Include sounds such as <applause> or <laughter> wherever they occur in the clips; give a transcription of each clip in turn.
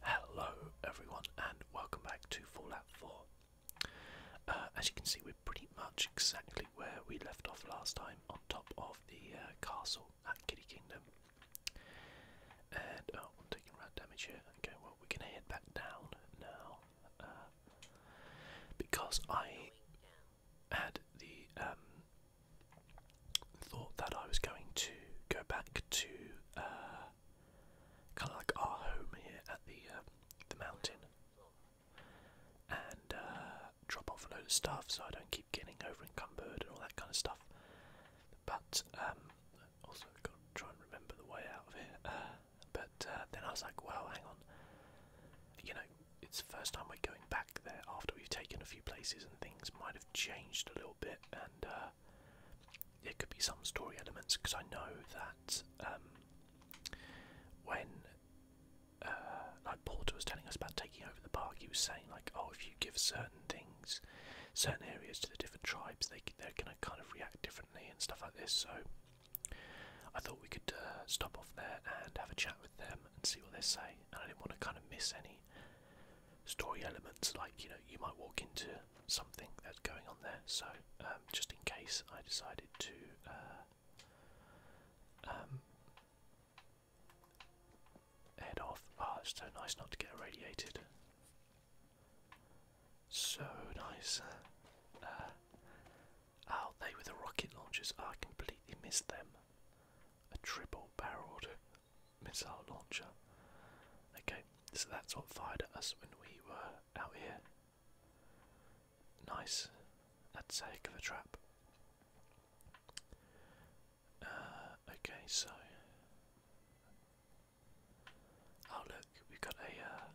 Hello everyone and welcome back to Fallout 4. Uh, as you can see we're pretty much exactly where we left off last time on top of the uh, castle at Kitty Kingdom. And oh, I'm taking a rat damage here. Okay well we're gonna head back down now uh, because I had the um, thought that I was going to go back to uh, kind of like our home here at the um, the mountain and uh, drop off a load of stuff so I don't keep getting over encumbered and all that kind of stuff. But um, also got to try and remember the way out of here. Uh, but then I was like, well, hang on. You know, it's the first time we're going back there after we've taken a few places and things might have changed a little bit and there could be some story elements because I know that um, when uh, like Porter was telling us about taking over the park, he was saying like, oh, if you give certain things, certain areas to the different tribes, they they're gonna kind of react differently and stuff like this. So I thought we could uh, stop off there and have a chat with them and see what they say. And I didn't want to kind of miss any story elements like you know you might walk into something that's going on there so um, just in case I decided to uh, um, head off ah oh, it's so nice not to get irradiated so nice uh, out oh, there with the rocket launchers ah, I completely missed them a triple barreled missile launcher. Okay, so that's what fired at us when we were out here. Nice. That's a heck of a trap. Uh, okay, so. Oh, look, we've got a. Uh,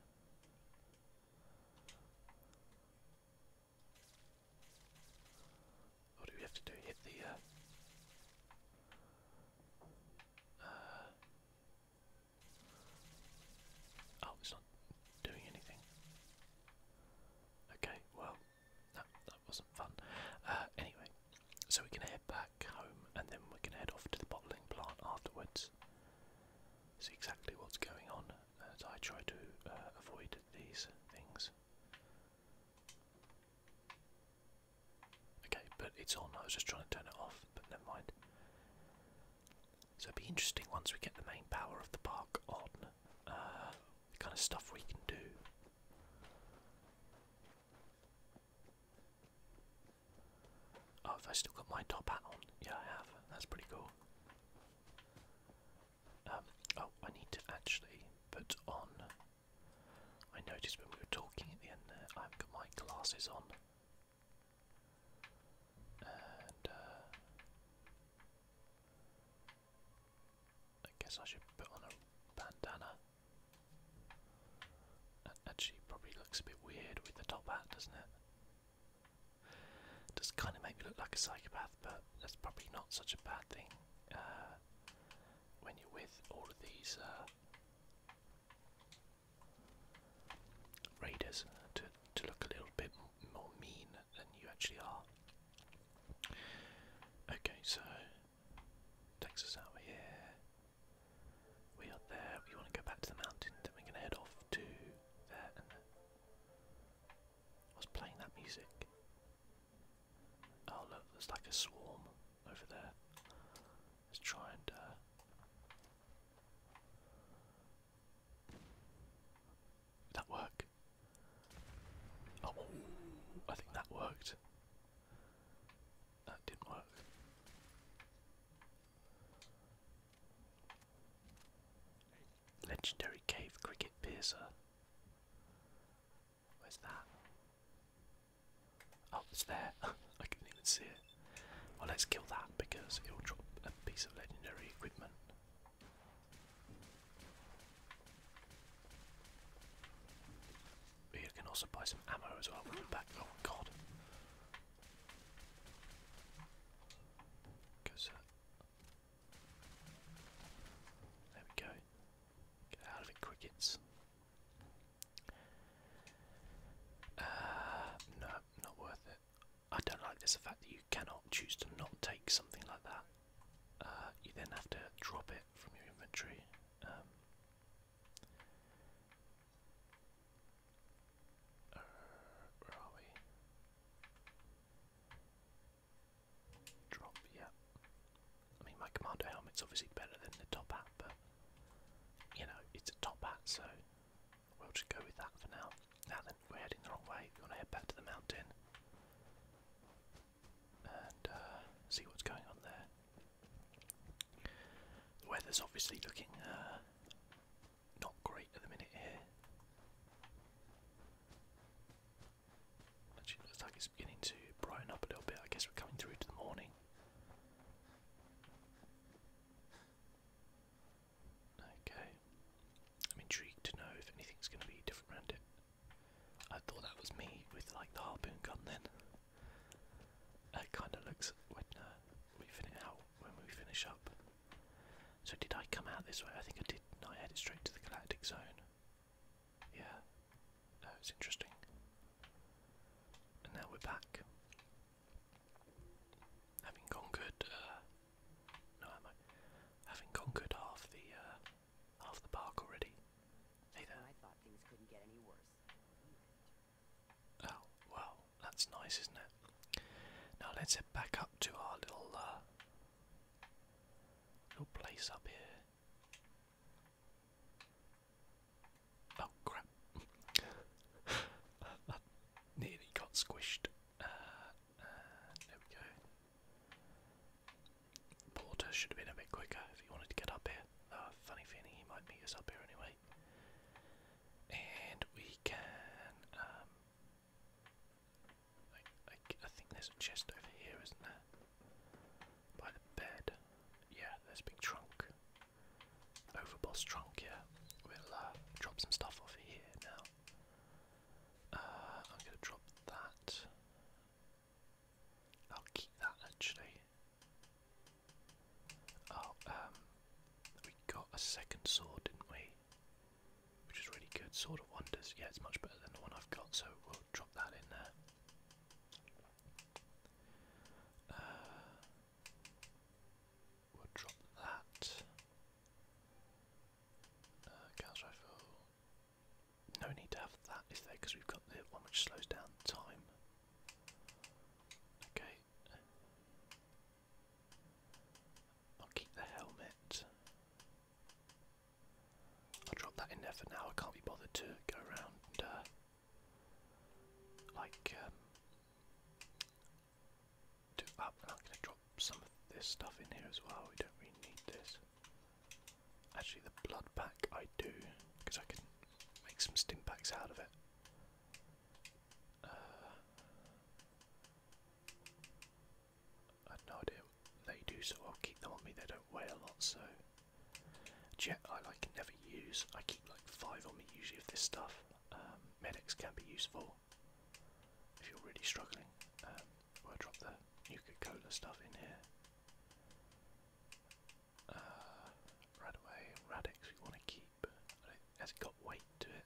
what do we have to do? Hit the. Uh, uh, oh, it's not doing anything. Okay, well, that, wasn't fun. Uh, anyway, so we're going to head back home and then we're going to head off to the bottling plant afterwards. See exactly what's going on as I try to uh, avoid these things. Okay, but it's on. I was just trying to turn it off, but never mind. So it'll be interesting once we get the main power of the park on, uh, the kind of stuff we can do. Oh, have I still got my top hat on? Yeah, I have. That's pretty cool. Um, oh, I need to actually put on I noticed when we were talking at the end there, I haven't got my glasses on. And, uh, I guess I should put on a bandana. actually probably looks a bit weird with the top hat, doesn't it? Does kind of make me look like a psychopath, but that's probably not such a bad thing uh, when you're with all of these uh, raiders to, to look a little bit more mean than you actually are. Okay, so takes us out here. We are there. We want to go back to the mountain. Then we're going to head off to there. I was playing that music. Oh look, there's like a swarm over there. Let's try and uh that work? Oh, I think that worked. That didn't work. Legendary cave cricket piercer. Where's that? Oh, it's there. <laughs> I couldn't even see it. Well, let's kill that because it will drop a piece of legendary equipment. We can also buy some ammo as well Oh god. Goes There we go. Get out of it, crickets. Uh, no, not worth it. I don't like this, the fact that you cannot choose to not take something like that. Uh, you then have to drop it from your inventory. Um. Uh, where are we? Drop, yeah. I mean, my commander helmet's obviously better than the top hat, but you know, it's a top hat, so we'll just go with that for now. Now then, we're heading the wrong way. We want to head back to the mountain and uh, see what's going on there. The weather's obviously looking uh, not great at the minute here. Actually, looks like it's beginning to brighten up a little bit. I guess we're coming through to the morning. Okay. I'm intrigued to know if anything's going to be different around it. I thought that was me with like the harpoon gun then. That kind of looks when uh, we finish out when we finish up. So did I come out this way? I think I did. No, I headed straight to the galactic zone. Yeah. That was interesting. And now we're back. Having conquered, uh, no, am I? Having conquered half the, uh, half the park already. there. Oh, well, that's nice, isn't it? Now let's head back up to our little, uh, little place up here. Oh crap! that <laughs> nearly got squished. Uh, uh, there we go. Porter should have been a bit quicker if he wanted to get up here. Oh, funny feeling he might meet us up here anyway. And we can. Um, I, I think there's a chest over here, isn't there? By the bed. Yeah, there's a big trunk. Overboss trunk here. We'll uh, drop some stuff off here now. Uh, I'm gonna drop that. I'll keep that actually. Oh, um, we got a second sword, didn't we? Which is really good. Sword of Wonders. Yeah, it's much better than the one I've got, so we'll drop that in there. Uh, we'll drop that. Uh, rifle. No need to have that, is there? Because we've got the one which slows down time. Okay. I'll keep the helmet. I'll drop that in there for now. I can't be bothered to go around and uh, like, um, ah, I'm going to drop some of this stuff in here as well. We don't really need this. Actually, the blood pack I do, because I can make some stim packs out of it. Uh, I have they do, so I'll keep them on me. They don't weigh a lot, so Jet I like never use. I keep like five on me usually of this stuff. Um, medics can be useful if you're really struggling. Um, I drop the Nuka-Cola stuff in here. Uh, Radaway, Radix we want to keep. Has it got weight to it?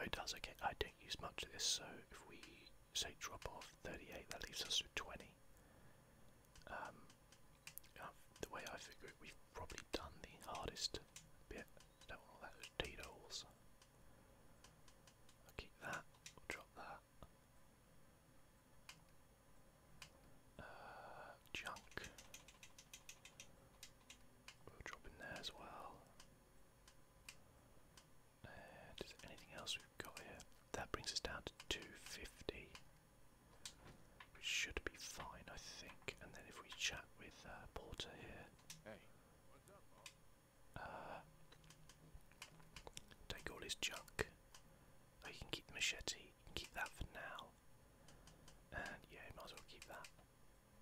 Oh, it does. Okay, I don't use much of this, so if we say drop off 38, that leaves us with 20. Um, the way I figure it, we've probably done the hardest bit. don't want all those details. i keep that. drop that. Uh, junk. drop in there as well. And uh, is anything else we've got here? That brings us down to 250. We should be fine, I think. And then if we chat with uh, Porter here, hey, uh, take all his junk. Oh, can keep machete. keep that for now. And yeah, might as well keep that.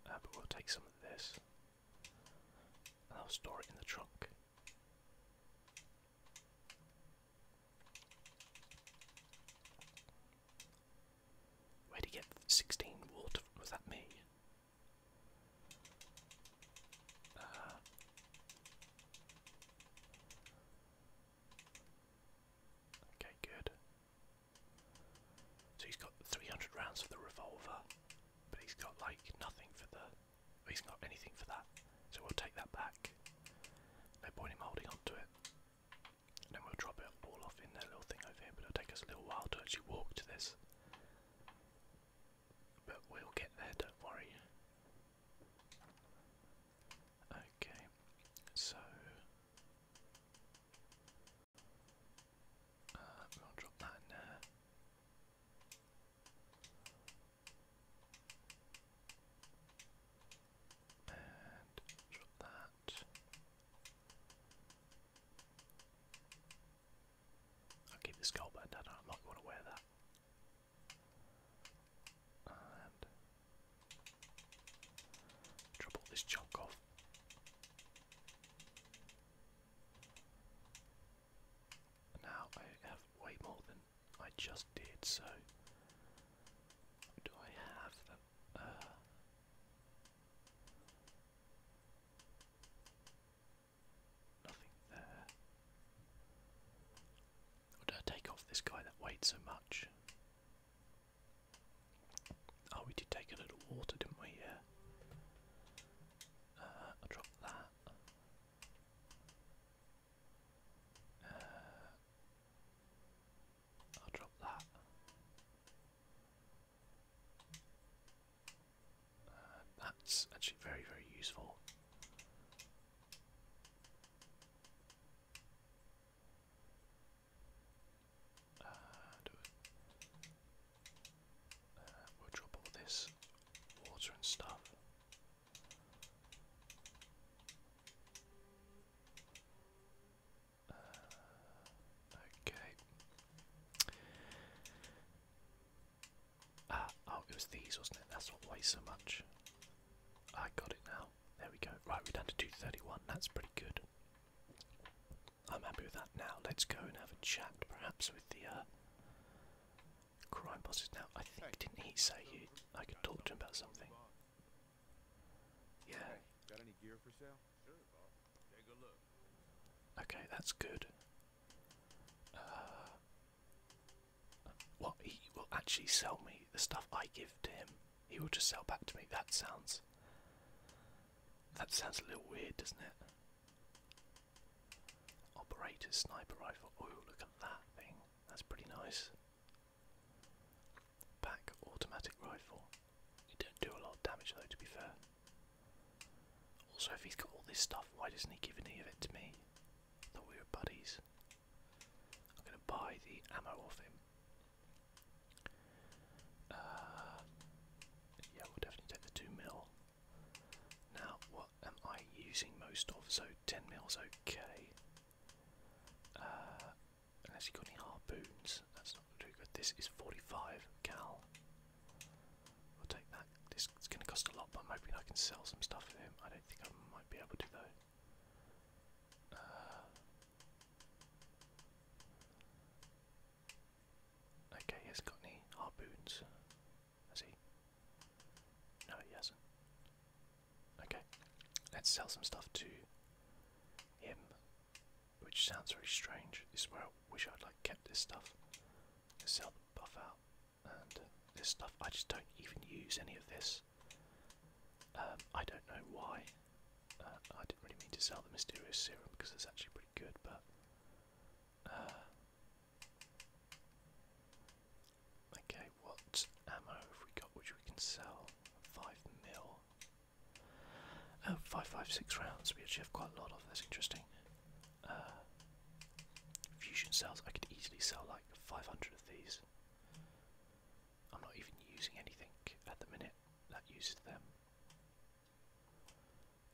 Uh, but we'll take some of this, and I'll store it in the trunk. Where'd he get 16 water? Was that me? Uh, okay, good. So he's got 300 rounds for the revolver, but he's got like nothing for the. He's got anything for that. So we'll take that back. No point in holding on to it then we'll drop it all off in that little thing over here, but it'll take us a little while to actually walk to this. But we'll get there, don't worry. Okay, so uh, we'll drop that in and that. I'll keep this gold band, I don't going to wear that. And drop all this chunk off. now I have way more than I just did, so do I have uh, nothing there? Or I take off this guy that weighed so much? Oh, we did take a little water, didn't we? Yeah. Uh, i drop that. Uh, I'll drop that. Uh, that's actually very, very useful. Uh, we'll drop all this water and stuff. Uh, okay. Ah, oh, it was these, wasn't it? That's what weighs so much. I got it now. There we go. Right, we're down to 231. That's pretty good. I'm happy with that now. Let's go and have a chat, perhaps, with the uh, crime bosses now. I think, didn't he say you, I could talk to him about something? Yeah. Okay, that's good. Uh, he will actually sell me the stuff I give to him. He will just sell back to me. That sounds. That sounds a little weird, doesn't it? Operator sniper rifle. Oh, look at that thing. That's pretty nice. Pack automatic rifle. It don't do a lot of damage though, to be fair. Also, if he's got all this stuff, why doesn't he give any of it to me? I thought we were buddies. I'm gonna buy the ammo off him. Uh, yeah, we'll definitely take the two mil. Now, what am I using most of? So ten mil's okay. Has uh, he got any harpoons, that's not going to do good. This is 45 cal. We'll take that. This is going to cost a lot, but I'm hoping I can sell some stuff to him. I don't think I might be able to though. Uh, Okay, he has got any harpoons, has No, he Okay, let's sell some stuff to him, which sounds very strange. This is where I wish I'd like kept this stuff. sell buff out and this stuff. I just don't even use any of this. Um, I don't know why. Uh, I didn't really mean to sell the mysterious serum because it's actually pretty good, but uh, okay, what ammo have we got which we can sell? 5 mil. Oh, 556 five, rounds. We actually have quite a lot of. That's interesting. Uh, fusion cells. I could easily sell like 500 of these. I'm not even using anything at the minute that uses them.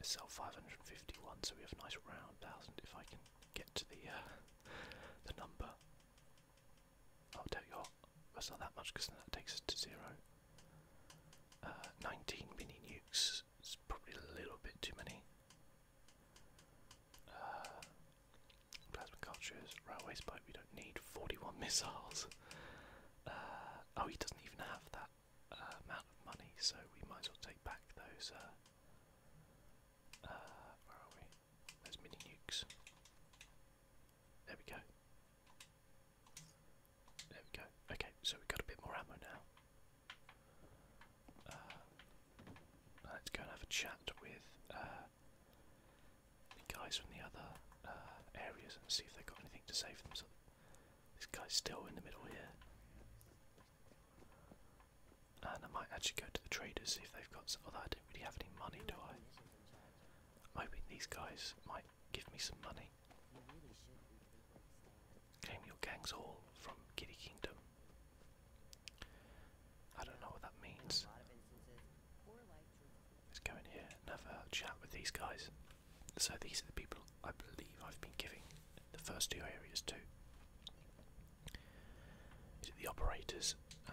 sell 551, so we have a nice round thousand if I can get to the uh, <laughs> the number. I'll tell you what, that's not that much because then that takes us to zero. Uh, 19 mini nukes is probably a little bit too many. Uh, plasma cultures, railway spike. we don't need 41 <laughs> missiles. Uh, oh, he doesn't even have that amount of money, so we might as well take back those. Uh, where are we? Those mini nukes. There we go. There we go. Okay, so we've got a bit more ammo now. Uh, let's go and have a chat with uh, the guys from the other uh, areas and see if they've got anything to say for them. this guy's still in the middle here. And I might actually go to the traders see if they've got Although I don't really have any money, do I? I'm hoping these guys might give me some money. Claim your gang's all from Giddy Kingdom. I don't know what that means. Let's go in here and chat with these guys. So these are the people I believe I've been giving the first two areas to. Is it the operators? Uh,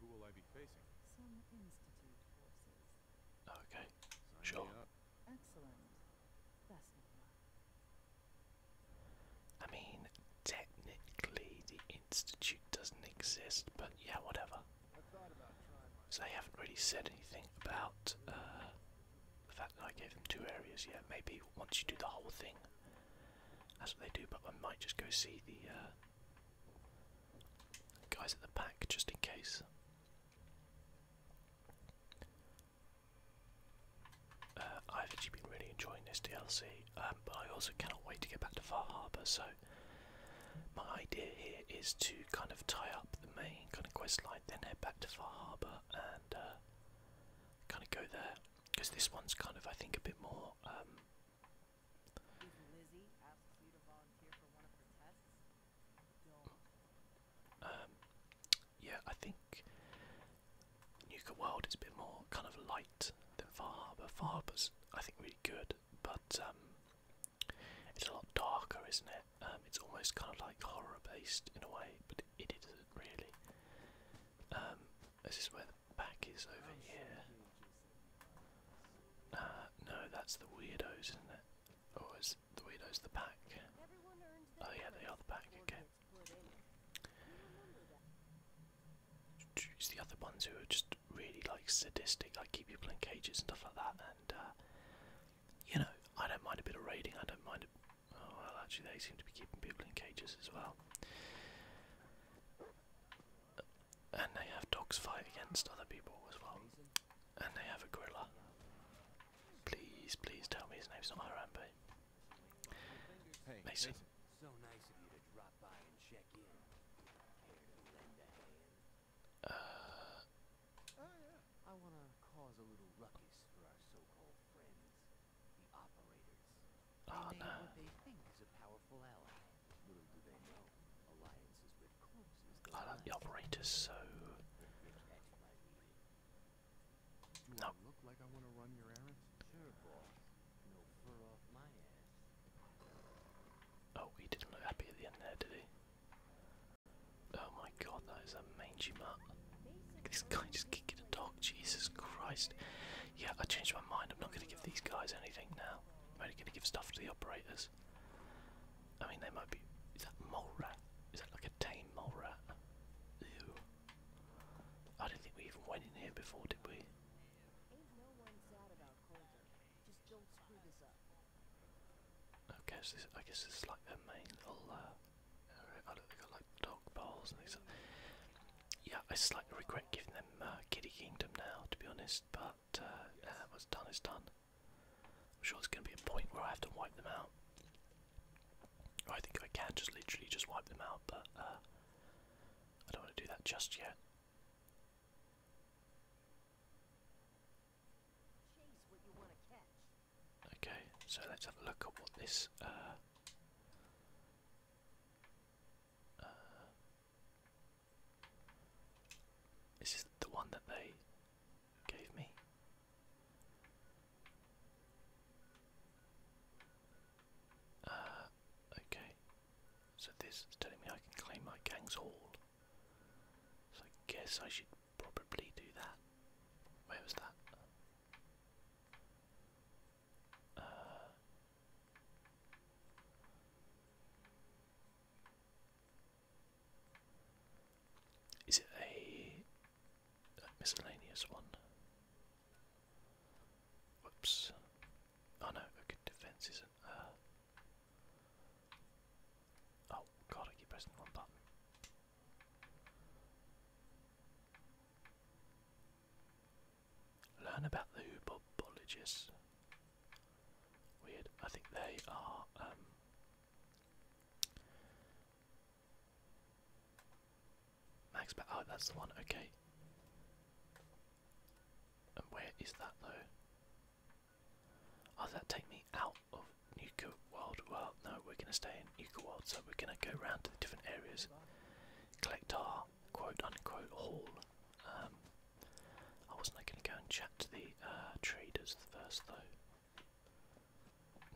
Who will I be facing? Okay. sure. Excellent. I mean, technically the institute doesn't exist, but yeah, whatever. they haven't really said anything about uh, the fact that I gave them two areas yet. Maybe once you do the whole thing, that's what they do, but I might just go see the uh, guys at the back just in case. Uh, I've actually been really enjoying this DLC, um, but I also cannot wait to get back to Far Harbor. So, my idea here is to kind of tie up the main kind of quest line, then head back to Far Harbor and uh, kind of go there because this one's kind of I think a bit more. Um, um, yeah, I think Nuka World is a bit more kind of light than Far Harbor. Far Harbor's I think really good, but um, it's a lot darker, isn't it? it's almost kind of like horror based in a way, but it isn't really. This is where the back is over here. Ah, no, that's the weirdos, isn't it? Oh, is the weirdos the back? Oh yeah, they are the back, okay. Choose the other ones who are just really like sadistic, like keep people in cages and stuff like that and uh, you know, I don't mind a bit of raiding, I don't mind a Oh, well, actually they seem to be keeping people in cages as well. And they have dogs fight against other people as well. And they have a gorilla. Please, please tell me his name's not Harambe. Mason. The operators. Oh, they What they think is a powerful ally. the operators so. no. Oh, he didn't look happy at the end there, did he? Oh my god, that is a mangy mutt. This guy just kicking a dog. Jesus Christ. Yeah, I changed my mind. I'm not going to give these guys anything now. I'm only going to give stuff to the operators. I mean, they might be. Is that mole rat? Is that like a tame mole rat? Ew. I don't think we even went in here before, did we? Okay, so I guess this is like their main little. Uh, I don't, they got like dog bowls and things yeah, I slightly regret giving them uh, Kitty Kingdom now, to be honest. But uh, uh, what's done is done. I'm sure there's going to be a point where I have to wipe them out. I think I can just literally just wipe them out, but uh, I don't want to do that just yet. Okay, so let's have a look at what this uh, uh, this the one that they gave me. Uh, okay. So this is telling me I can claim my gang's hall. So I guess I should probably do that. Where was that? Uh, is it a, miscellaneous one? Whoops. Oh no, okay, defense isn't. Uh, oh god, I keep pressing one button. Learn about the Hoobobologists. Weird. I think they are. Um, Max, but oh, that's the one. Okay. And where is that though? Oh, does that take me out of Nuka World? Well, no, we're gonna stay in Nuka World, so we're gonna go around to the different areas, collect our quote unquote haul. Um, I wasn't going to go and chat to the uh, traders first though.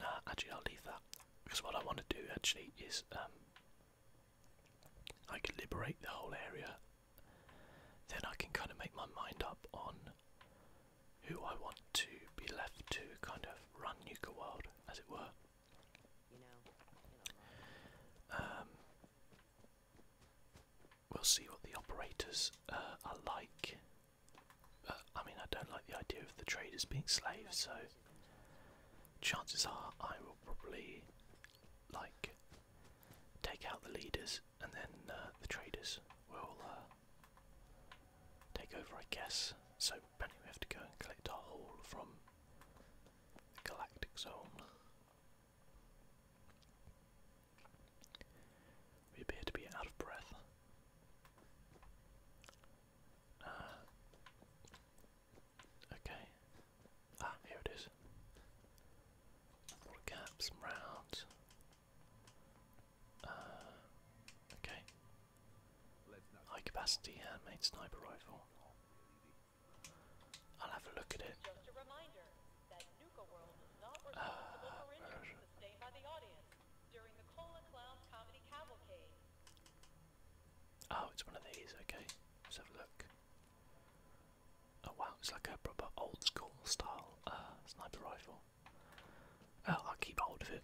Nah, actually I'll leave that because what I want to do actually is um, I can liberate the whole area. Then I can kind of make my mind up on who I want to be left to kind of run Nuka World, as it were. Um, we'll see what the operators uh, are like. Uh, I mean, I don't like the idea of the traders being slaves, so chances are I will probably like take out the leaders, and then uh, the traders will take over, I guess. So, apparently, we have to go and collect our haul from the galactic zone. We appear to be out of breath. Uh, okay. Ah, here it is. caps, some rounds. Uh, okay. High capacity handmade sniper rifle. I'll have a look at it. Ah, oh, it's one of these, okay. Let's have a look. Oh wow, it's like a proper old school style uh, sniper rifle. Uh, I'll keep hold of it.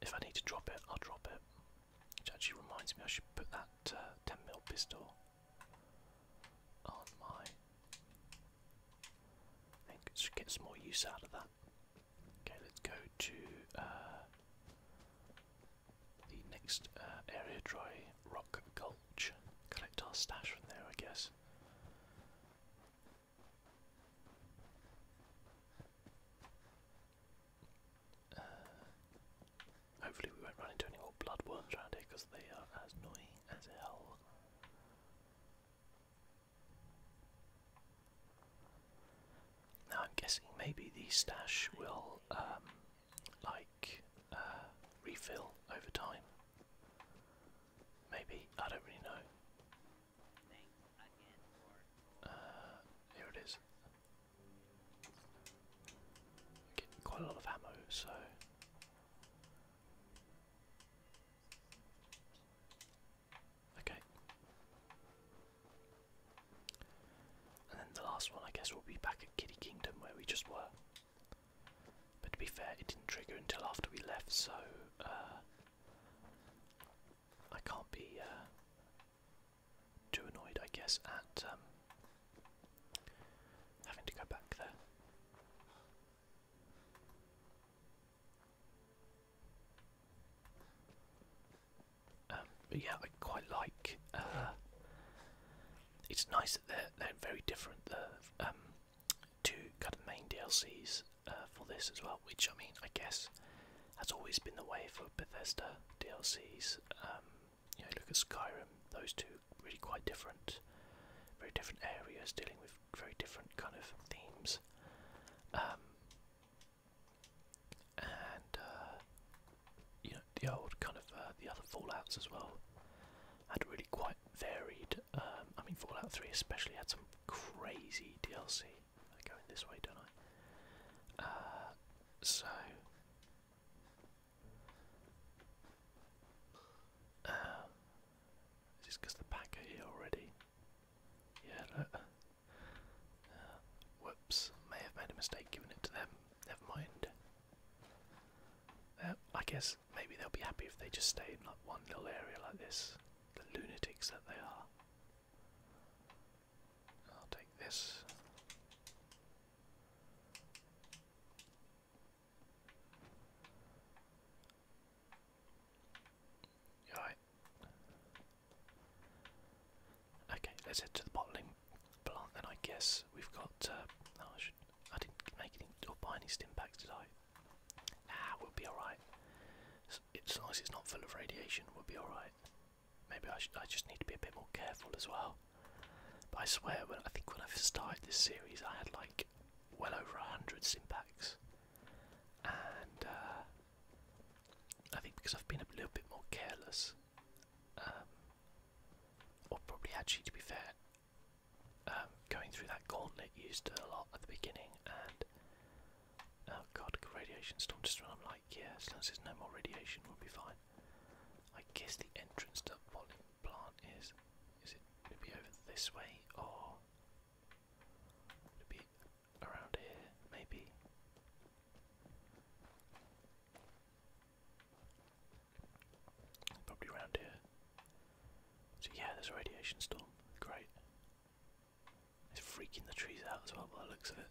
If I need to drop it, I'll drop it. Which actually reminds me I should put that 10mm uh, pistol on my. think get some more use out of that. Okay, let's go to uh, the next uh, area, Dry Rock Gulch. Collect our stash from there, I guess. Uh, hopefully we won't run into any more bloodworms around here because they are as annoying as hell. Now I'm guessing maybe the stash will um, like uh, refill over time. Maybe I don't really know. Uh, here it is. I'm getting quite a lot of ammo, so okay. And then the last one, I guess, will be back at Kitty Kingdom where we just were. But to be fair, it didn't trigger until after we left, so uh, I can't be uh, too annoyed, I guess, at um, having to go back there. Um, but yeah, I quite like. Uh, it's nice that they're they're very different. The um, two kind of main DLCs uh, for this as well, which I mean, I guess has always been the way for Bethesda DLCs look at Skyrim. Those two really quite different, very different areas dealing with very different kind of themes. Um, and uh, you know, the old kind of uh, the other Fallout's as well had really quite varied. Um, I mean, Fallout Three especially had some crazy DLC. I'm going this way, don't I? Uh, so um, is this the pack are here already? Yeah, look. Uh, whoops, may have made a mistake giving it to them. Never mind. Uh, I guess maybe they'll be happy if they just stay in one little area like this. The lunatics that they are. I'll take this. Alright. Okay, let's head to the bottling plant then I guess. We've got uh oh, I should I didn't make any or buy any stimpacks, packs, did I? Ah, we'll be alright. It's, it's as it's not full of radiation, we'll be alright. Maybe I, should, I just need to be a bit more careful as well. But I swear, when I think when I started this series, I had like well over a hundred simpacks, and uh, I think because I've been a little bit more careless, um, or probably actually to be fair, um, going through that gauntlet used a lot at the beginning, and oh god, radiation storm just run. I'm like yeah, as long as there's no more radiation, we'll be fine. I guess the entrance to the bottling plant is. Is it gonna be over this way or would it be around here, maybe? Probably around here. So yeah, there's a radiation storm. Great. It's freaking the trees out as well by the looks of it.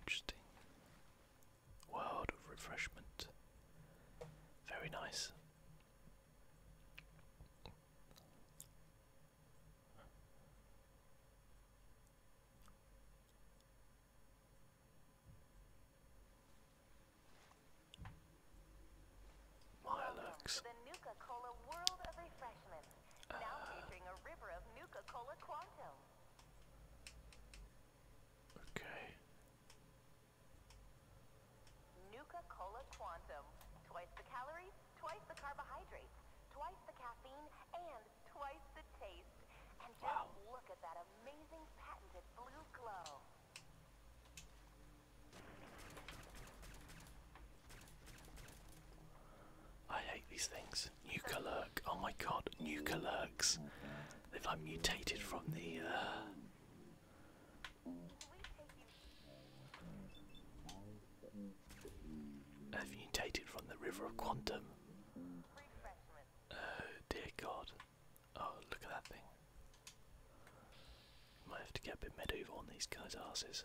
Interesting. World of refreshment. Very nice. Milux. Cola World of Refreshment. Now ah. featuring a river of Nuka Cola Quantum. Okay. Nuka Cola Quantum. Twice the calories, twice the carbohydrates, twice the caffeine, and twice the taste. And just look at that amazing patented blue glow. I hate these things. Nuka Oh my god, Nuka They've like mutated from the. They've uh, mutated from the River of Quantum. Oh dear god. Oh, look at that thing. Might have to get a bit medieval on these guys' asses.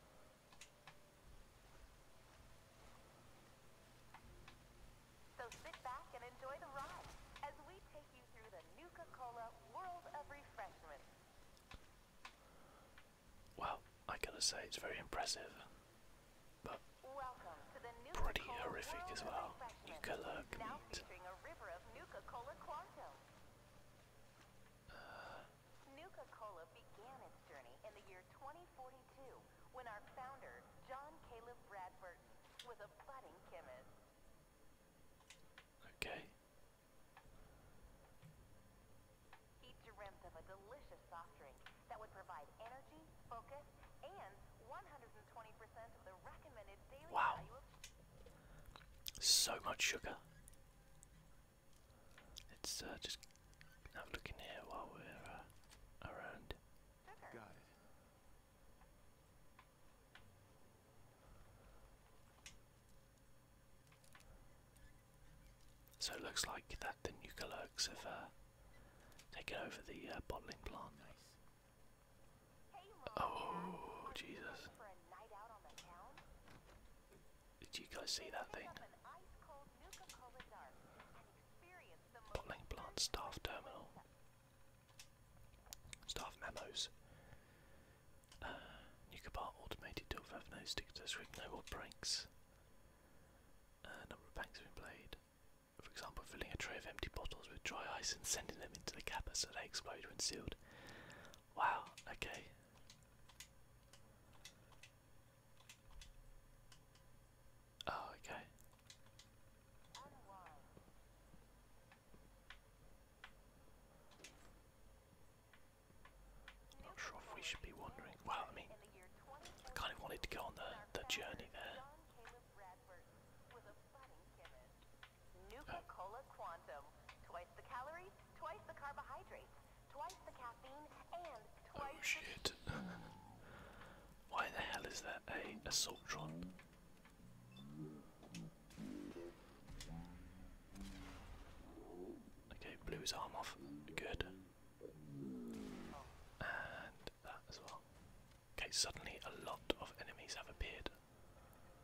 So sit back and enjoy the ride as we take you through the Nuka-Cola world of refreshment. Well, I gotta say it's very impressive, but pretty horrific as well. Nuka-Cola can Nuka-Cola began its journey in the year 2042 when our founder, John Caleb Bradford, was a budding chemist. Okay. He dreamt of a delicious soft drink that would provide energy, focus, and 120% of the recommended daily wow. So much sugar. Let's uh, just have a look in here while we're uh, around. So it looks like that the Nukalurks have uh, taken over the bottling plant. oh, Jesus. Did you guys see that thing? Bottling plant staff terminal. Staff memos. Uh, Nuka bar automated tool five no stick to no more breaks. Uh, number of banks have been played. For example, filling a tray of empty bottles with dry ice and sending them into the capper so they explode when sealed. Wow, okay. Oh, okay. not sure if we should be wandering. Well, I mean, I kind of wanted to go on the, the journey there twice the carbohydrates, Oh shit. Why the hell is there a assaultron? Okay, blew his arm off. Good. And that as well. Okay, suddenly a lot of enemies have appeared.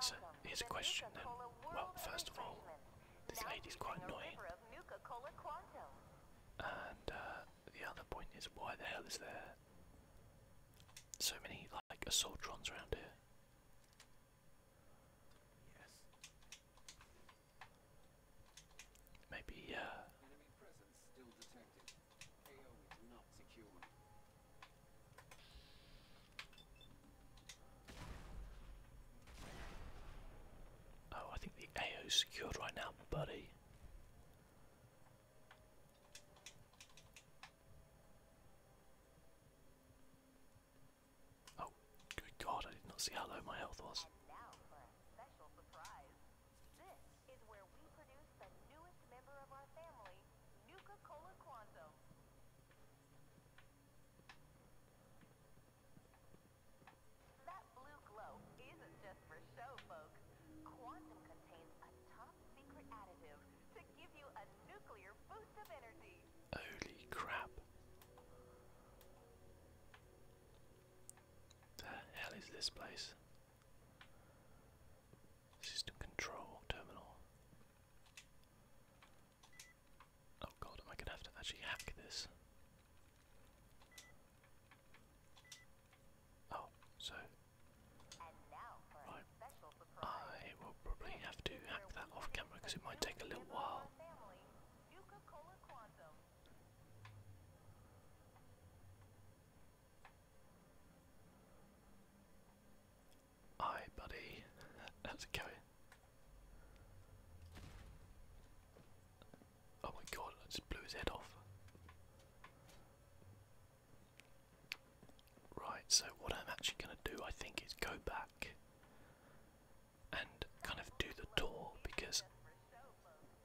So here's a question Well, first of all, this lady's quite annoying. And uh, the other point is, why the hell is there so many like assaultrons around here? Maybe, AO is secured. Oh, I think the AO's secured right now, buddy. Oh, good God! I did not see how low my health was. This is where we produce the newest member of our family, Nuka-Cola Quanzo. isn't just for show, folks. Quantum contains a top-secret additive to give you a nuclear boost of energy. Holy crap. Where The hell is this place? System control terminal. Oh god, am I gonna have to actually hack this? Oh, so right. I will probably have to hack that off camera because it might take a little while. Hi, buddy. <laughs> How's it going? Oh my god, I just blew his head off. Right, so what I'm actually going to do, I think, is go back and kind of do the tour because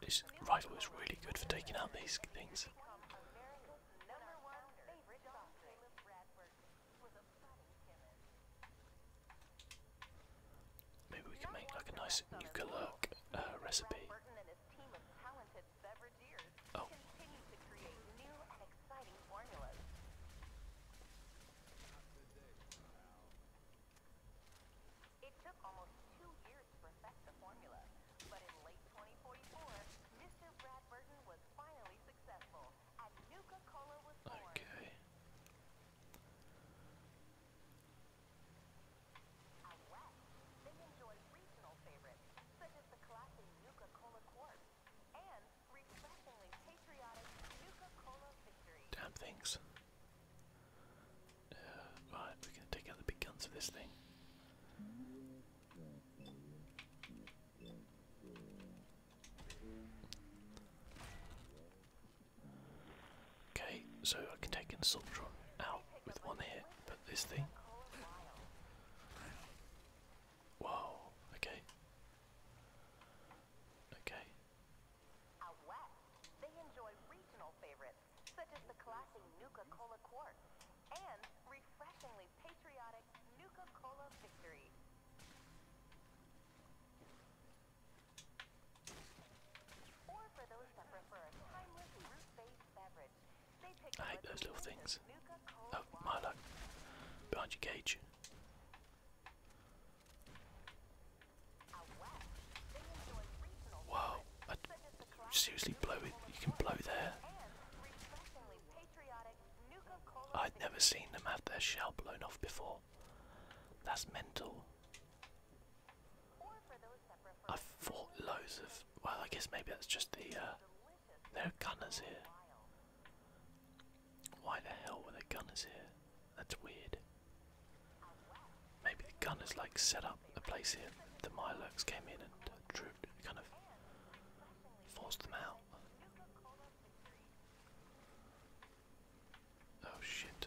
This rifle is really good for taking out these things. Maybe we can make like a nice nuclear uh, recipe. Oh. It took almost two years to perfect the formula, but in late 2044, Mr. Brad Burton was finally successful, and Nuka-Cola was born. Okay. Out west, they enjoy regional favorites, such as the classic Nuka-Cola Quartz, and refreshingly Damn things. Uh, right, we're going to take out the big guns of this thing. Okay, so I can take Insultron out with one hit, but this thing. Wow, okay they enjoy regional favorites, such as the classy Nuka-Cola Quartz and refreshingly patriotic Nuka-Cola Victory. I hate those little things. Oh, Milo. Behind your cage. Wow, I seriously blow it. You can blow there. I'd never seen them have their shell blown off before. That's mental. I've fought loads of. Well, I guess maybe that's just the. Uh, there are gunners here. Why the hell were there gunners here? That's weird. Maybe the gun has like set up a place here. The Milux came in and uh, drew, kind of forced them out. Oh shit.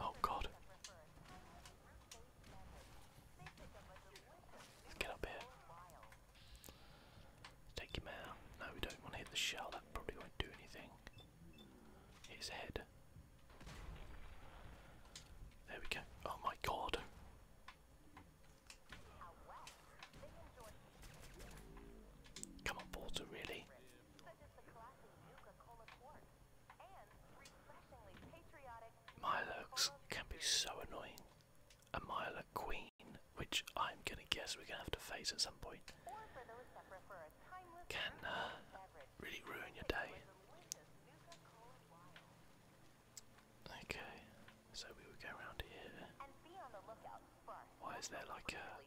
Oh god. Let's get up here. Take him out. No, we don't want to hit the shell, that probably won't do anything. his head. There we go. Oh my god. Come on, Porter, really? Milox can be so annoying. A Milox Queen, which I'm gonna guess we're gonna have to face at some point, can uh, really ruin your day. Okay, so we would go around here. Why is there like a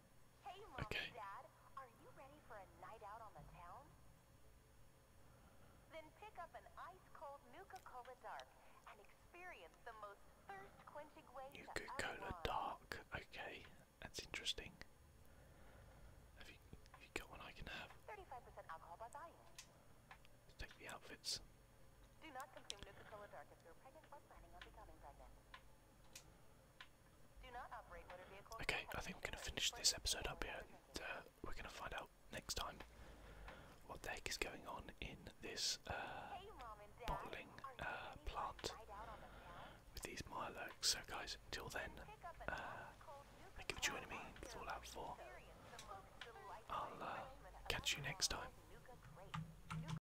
okay. and Dad, are you ready for a night out on the town? Then pick up an ice-cold Nuka-Cola Dark and experience the most thirst-quenching way Nuka to Nuka-Cola Dark. Okay, that's interesting. Have you, got one I can have? 35% alcohol by volume. Let's take the outfits. Okay, I think we're going to finish this episode up here and uh, we're going to find out next time what the heck is going on in this uh, bottling uh, plant with these Milox. So, guys, until then, uh, thank you for me in Fallout 4. I'll uh, catch you next time.